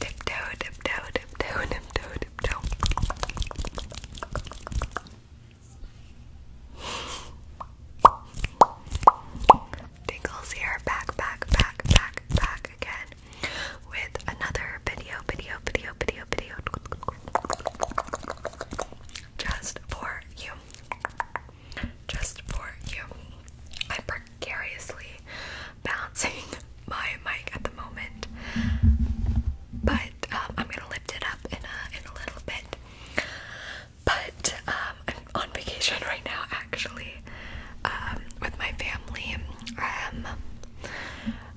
Tiptoe, tiptoe, tiptoe, tiptoe, tiptoe. Tingles here, back, back, back, back, back again with another video, video, video, video, video just for you. Just for you precariously balancing my mic at the moment, but um, I'm gonna lift it up in a in a little bit. But um, I'm on vacation right now, actually, um, with my family,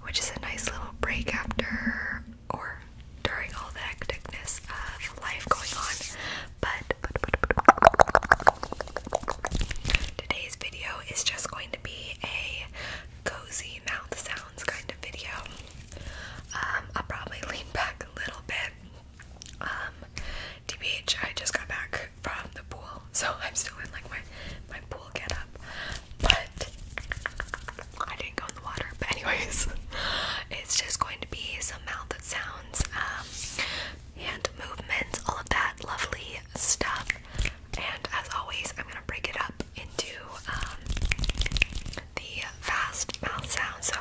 which is a nice little break after or during all the hecticness of life going on. But, today's video is just going to be a cozy mouth sounds kind of video. Um, I'll probably lean back a little bit. DBH, um, I just got back from the pool, so I'm still in like my my pool get up. But I didn't go in the water. But anyways, it's just going to be some mouth sounds. Um, hand movements, all of that lovely stuff. And as always, I'm gonna break it up into um, the fast mouth sounds. So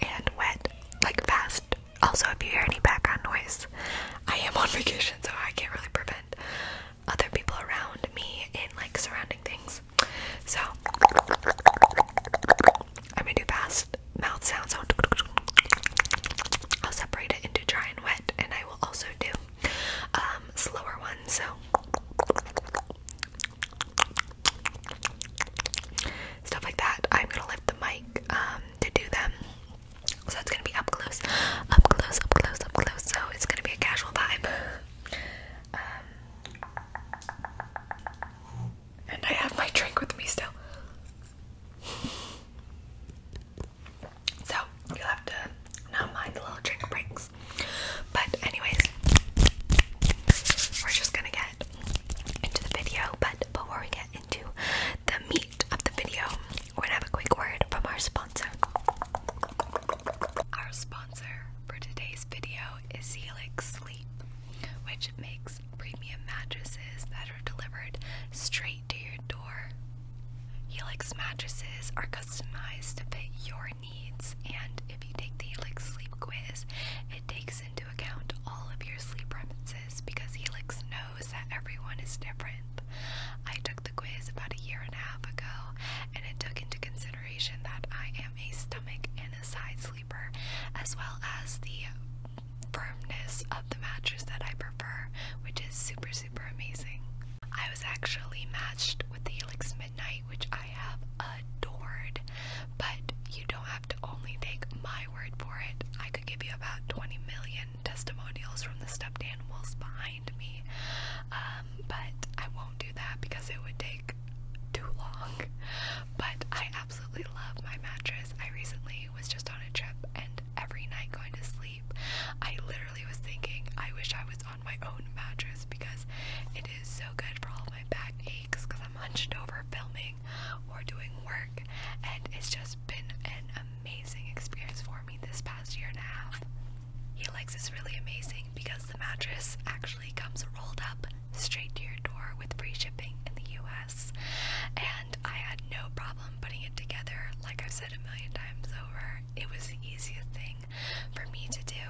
and wet, like fast. Also, if you hear any background noise, I am on vacation, so I can't really prevent other people around me in like surrounding things so I'm gonna do fast mouth sounds. So I'll separate it into dry and wet, and I will also do um, slower ones. So stuff like that. I'm gonna lift the mic um, to do them. So it's gonna be up close, up close, up close, up close. So it's gonna be a casual vibe. Um, and I have my drink with me still. So, you'll have to not mind the little drink breaks. But, anyways, we're just gonna get into the video. But before we get into the meat of the video, we're gonna have a quick word from our sponsor. Our sponsor for today's video is Helix Sleep which makes premium mattresses that are delivered straight to your door. Helix mattresses are customized to fit your needs, and if you take the Helix sleep quiz, it takes into account all of your sleep preferences because Helix knows that everyone is different. I took the quiz about a year and a half ago, and it took into consideration that I am a stomach and a side sleeper sleeper, as well as the firmness of the mattress that I prefer, which is super, super amazing. I was actually matched with the Helix Midnight, which I have adored, but you don't have to only take my word for it. I could give you about 20 million testimonials from the stuffed animals behind me, um, but I won't do that because it would take too long. But I absolutely love my mattress. I recently was just on a trip and every night going to sleep, I literally was thinking, I wish I was on my own mattress because it is so good for all my back aches because I'm hunched over filming or doing work. And it's just been an amazing experience for me this past year and a half. He likes is really amazing because the mattress actually comes rolled up straight to your door with free shipping in the US. And I had no problem putting it together, like I've said a million times over. It was the easiest thing for me to do.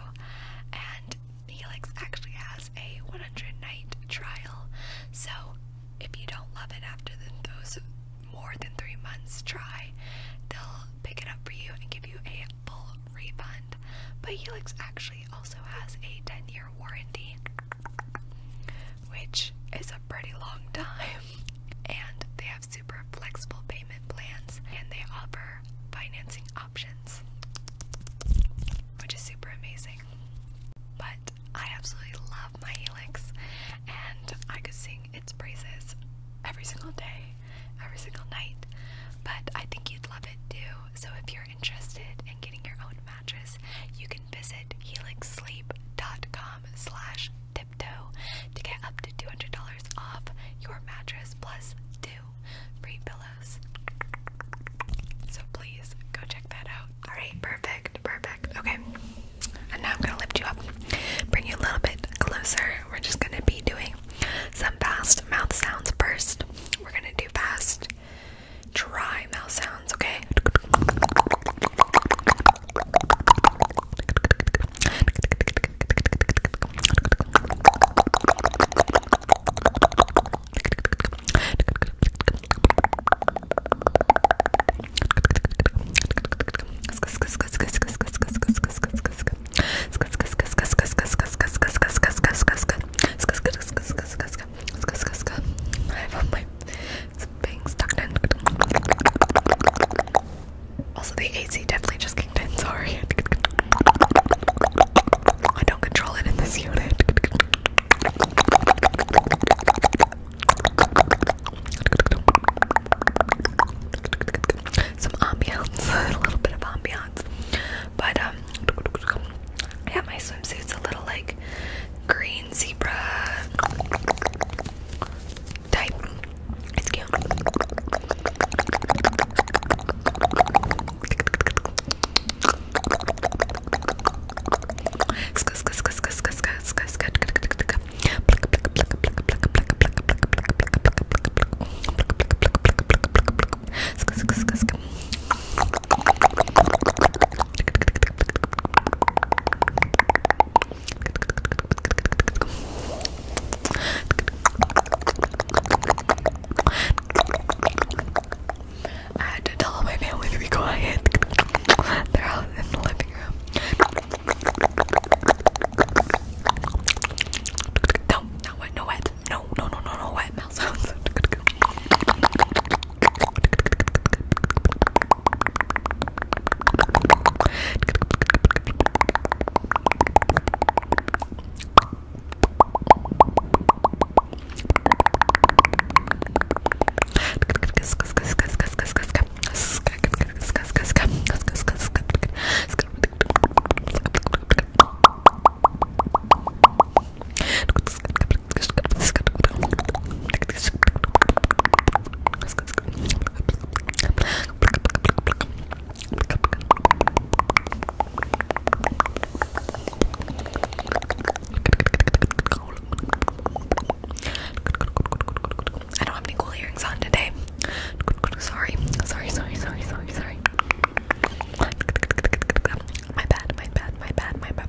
And Helix actually has a 100 night trial. So if you don't love it after those more than three months, try. They'll pick it up for you and give you a full refund. But Helix actually actually also has a 10 year warranty, which is a pretty long time. And they have super flexible payment plans and they offer financing options, which is super amazing. But I absolutely love my Helix and I could sing its praises every single day, every single night. But I think you'd love it too. So if you're interested in getting your own mattress, you can visit helixsleep.com slash tiptoe to get up to $200 off your mattress plus two free pillows. So please go check that out. Alright, perfect, perfect. Okay. And now I'm gonna lift you up, bring you a little bit closer. We're just gonna be doing some fast mouth sounds first. We're gonna do fast dry mouth sounds, okay? I have my being stuck in. Also, the AC definitely just kicked in. Sorry, I don't control it in this unit. Some ambiance, a little bit of ambiance, but um, yeah, my swimsuit's a little like green zebra type. I had to tell my family to be quiet. They're out in the living room. No, no wet, no wet. No, no, no, no, no, wet mouth sounds. I don't have any cool earrings on today. Sorry, sorry, sorry, sorry, sorry, sorry. My bad, my bad, my bad, my bad.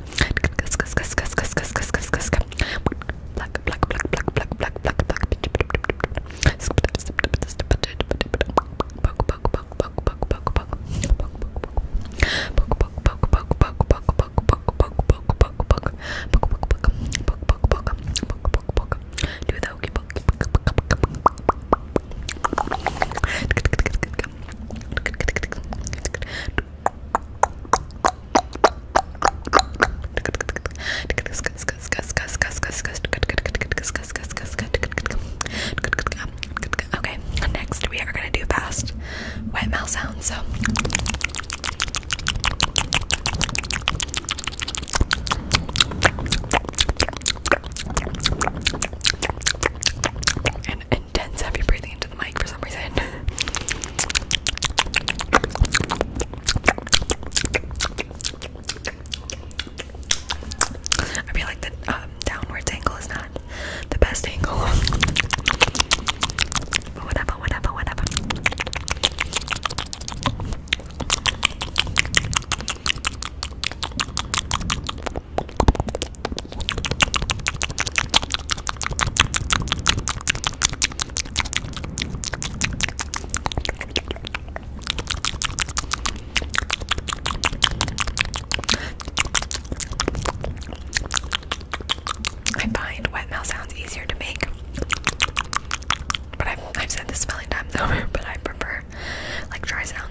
Black, black, black, black, black, black, black, black. Do the hokey pokey. Okay, next we are gonna do fast wet mouth sounds. So intense heavy breathing into the mic for some reason. I feel like the um, angle is not the best angle. I find wet mouth sounds easier to make, but I've, said this a million times but I prefer like dry sound.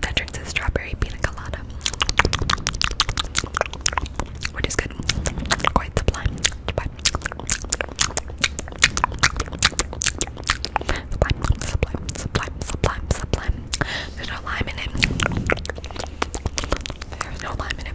That drinks is strawberry pina colada. Which is good. Quite sublime, sublime, sublime, sublime, sublime. There's no lime in it. There's no lime in it.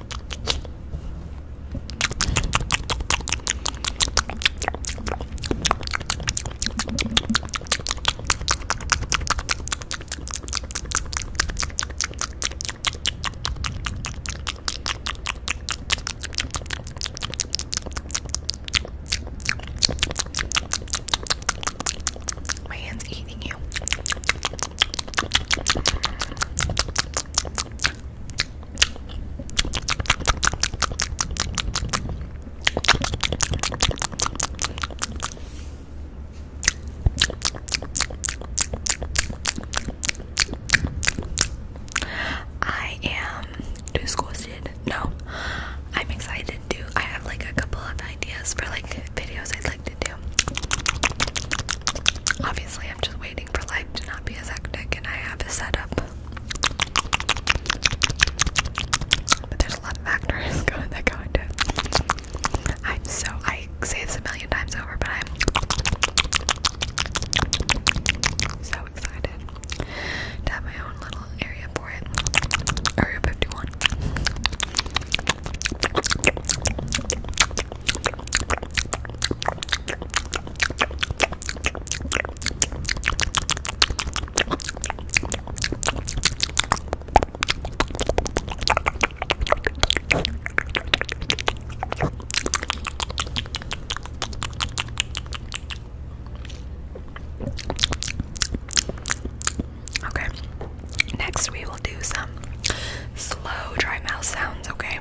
My hand's eating you. I am disgusted. No, I'm excited to. I have like a couple of ideas for like videos I'd like to do. Obviously, I'm just waiting for life to not be as hectic, and I have a setup. But there's a lot of factors that go into it. am so I say this a million times over, but I'm so excited to have my own little area for it. Area 51. Okay. Next, we will do some slow dry mouth sounds, okay?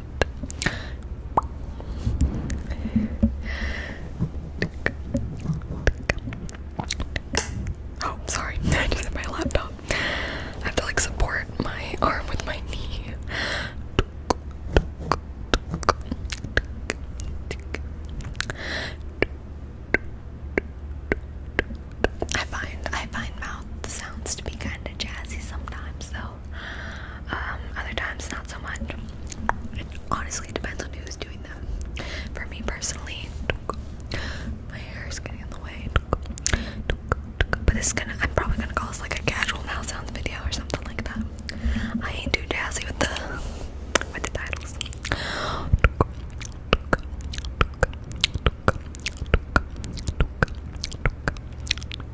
Oh, sorry, I just hit my laptop. I have to like support my arm with my knee. I find I find mouth sounds to be kind of jazzy sometimes, though. Um, other times, not so much. It honestly depends on who's doing them. For me personally, my hair is getting in the way. But this is gonna, I'm probably gonna call this like a casual now sounds video or something like that. I ain't too jazzy with the, with the titles poke, poke,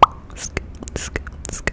poke, poke, poke,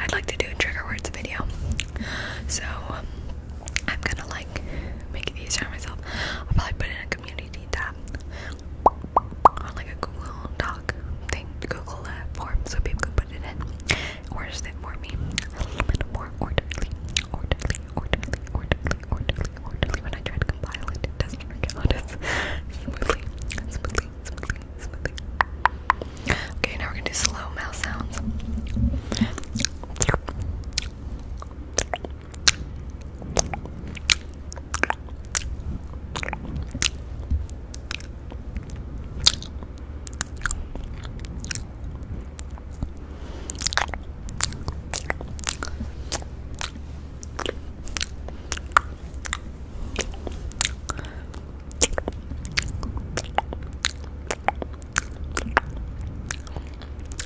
I'd like to do a trigger words video. So um, I'm gonna like make it easier on myself. I'll probably put in a community tab on like a Google Doc thing, Google uh, form, so people can put in. Or just it for me. orderly, orderly, orderly, orderly, orderly, orderly. When I try to compile it, smoothly, smoothly Okay, now we're gonna do slow mouth sounds.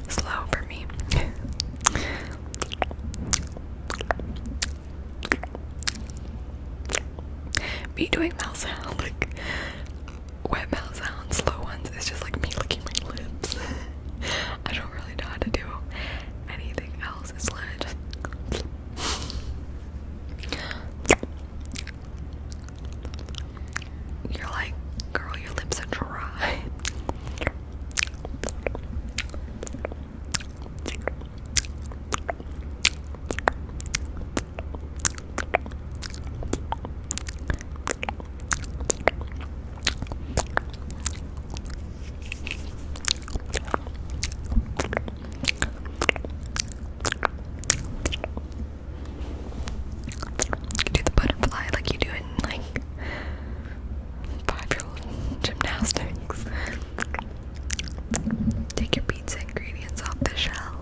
Slow for me. me doing mouth sound, like wet mouth sounds, slow ones, it's just like me licking my lips. I don't really know how to do anything else. It's literally just you're like, girl, your lips are dry do the butterfly like you do in like five-year-old gymnastics. Take your pizza ingredients off the shelf.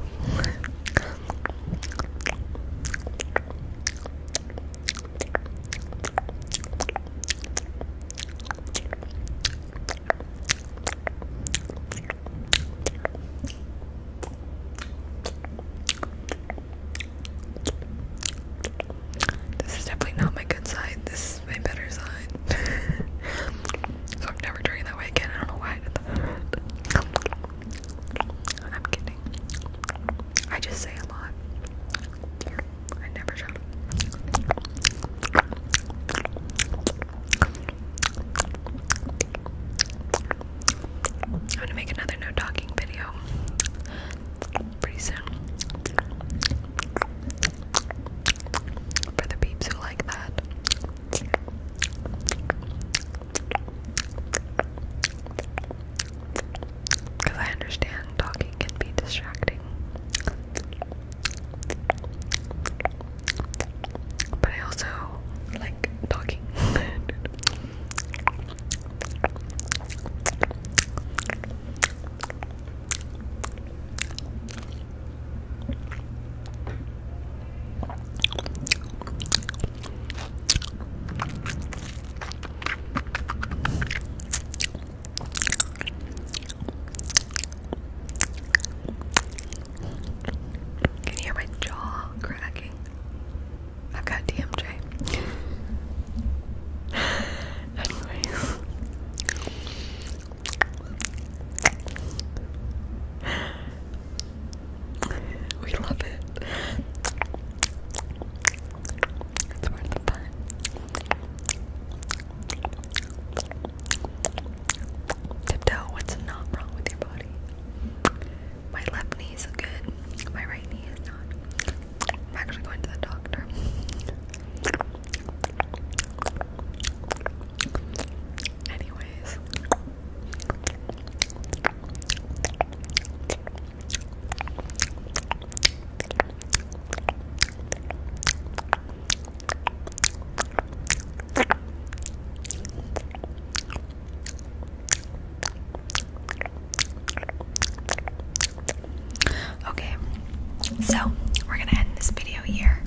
This is definitely not my good side. This is my better side. so I'm never drinking that way again. I don't know why I did that. I'm kidding. I just say a lot. I never showed I'm to make another no talking video pretty soon. For the peeps who like that. Because I understand talking can be distracting. But I also like talking. Can you hear my jaw cracking? i got DMJ. Anyways. We love it. It's worth the fun. Tiptoe, what's not wrong with your body? My left knee is good, my right knee is not. I'm actually going to the doctor. Anyways. Okay, so we're gonna end this video here.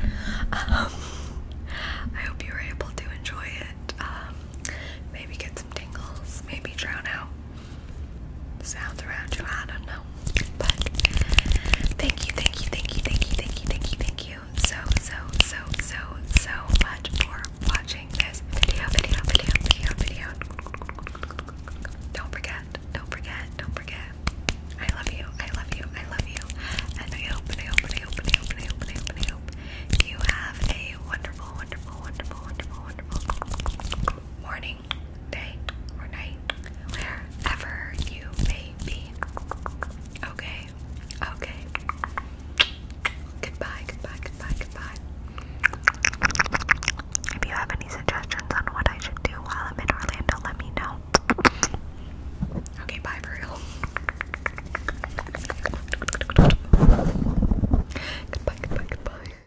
Um, I hope you were able to enjoy it. Um, maybe get some tingles, maybe drown out sound around you. I don't know. But thank you, thank you, thank you, thank you, thank you, thank you, thank you so, so, so, so, so much for watching this video, video, video, video, video. Don't forget, don't forget, don't forget. I love you, I love you, I love you. And I hope, and I hope, and I hope, and I hope, and I hope, and I hope, and I hope you have a wonderful, wonderful, wonderful, wonderful, wonderful morning, day, or night, wherever you may be. Okay, okay. Goodbye, goodbye, goodbye, goodbye. If you have any suggestions on what I should do while I'm in Orlando, let me know. Okay, bye for real. Goodbye, goodbye, goodbye.